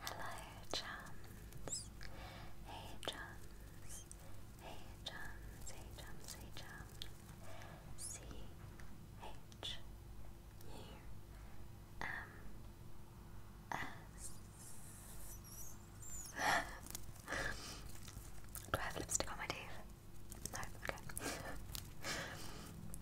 Hello, Chums. Hey, Chums. Hey, Chums. Hey, Chums. Hey, Chums. C H U M S. Do I have lipstick on my teeth? No, okay.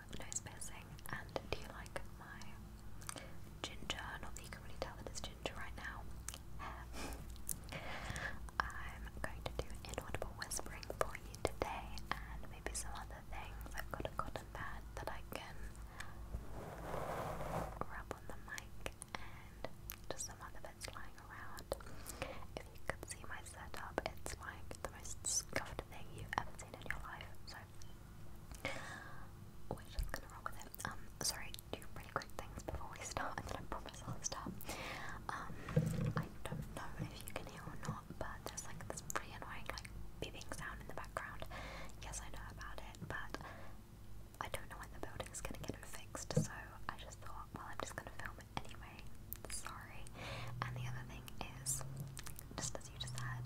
nose piercing. And do you like my ginger? Not that you can really tell that it's ginger right now. Um, I'm going to do inaudible whispering for you today, and maybe some other things. I've got a cotton pad that I can rub on the mic, and just some other bits lying around. If you could see my setup, it's like the most scuffed thing you've ever seen in your life. So we're just gonna roll with it. Um, sorry, two pretty quick things before we start, and then I promise I'll stop. Um, I don't know if you can hear or not, but there's like this pretty annoying like beeping sound in the background. Yes, I know about it, but I don't know when the building's gonna get it fixed, so I just thought, well, I'm just gonna film it anyway. Sorry. And the other thing is, just as you just heard,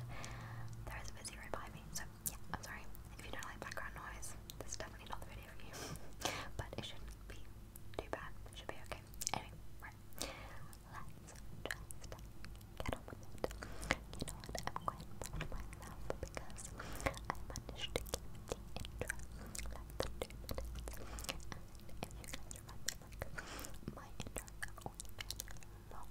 there is a busy road by me. So yeah, I'm sorry if you don't like background noise. This is definitely not the video for you, but it should be too bad. should be okay. Anyway, Let's get on with it. You know what? I'm quite proud of myself because I managed to keep the intro if you guys remember, my intros have always long.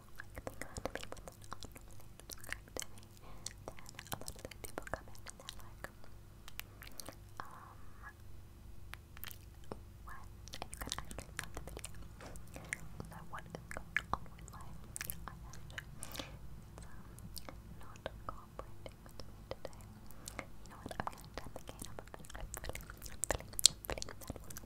people like think the people that aren't really a lot people come in and like um when and you can actually stop the video so what is going on with my eyelash it's not cooperating today you know what, I'm gonna turn the gain up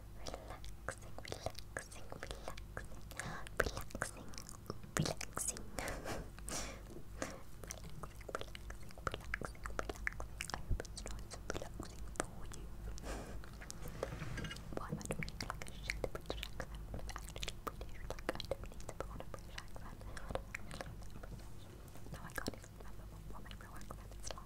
relaxing, relaxing, relaxing, relaxing, relaxing. Relaxing, relaxing, relaxing, relaxing. I hope it's nice and relaxing for you. Why am I talking like a shit British accent I'm actually British? Like, I need to put on a British No, I can't even remember what, what my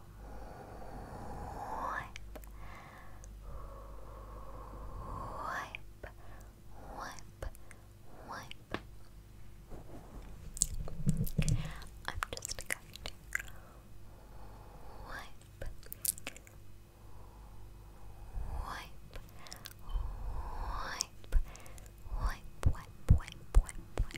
wipe, wipe, wipe, wipe. I'm just going to wipe, wipe, wipe, wipe, wipe, wipe, wipe,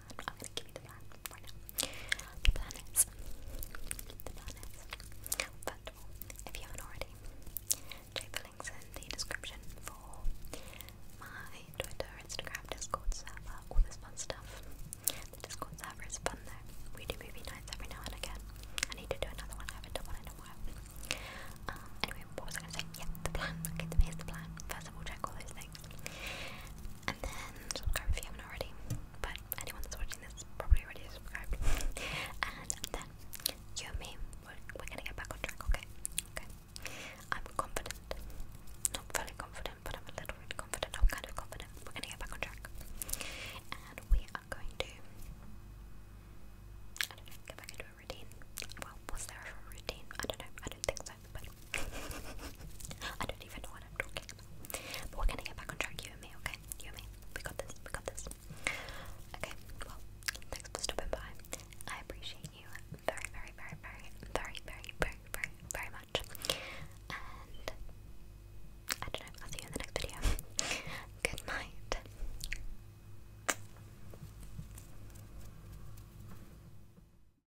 plan. I'm gonna give you the plan right now. The plan is, the plan is, first of all, if you haven't already, check the links in the description for my Twitter, Instagram, Discord server, all this fun stuff. The Discord server is fun though. We do movie nights every now and again. I need to do another one. I haven't done one in a while. Um, anyway, what was I gonna say? Yeah, the plan. here's the plan. First of all, check all those things. And then subscribe if you haven't already. But anyone that's watching this probably already subscribed. and then you and me, we're, gonna get back on track, okay? Okay. I'm confident. Not fully confident, but I'm a little bit confident. I'm kind of confident. We're gonna get back on track. And we are going to I don't know, get back into a routine. Well, was there a routine? I don't know. I don't think so everybody. I don't even know what I'm talking about. But we're gonna get back on track, you and me, okay? You and me. We got this, we got this. Okay, well, thanks for stopping by. I appreciate you very, very, very, very, very, very, very, very, very much. And I don't know, I'll see you in the next video. Good night.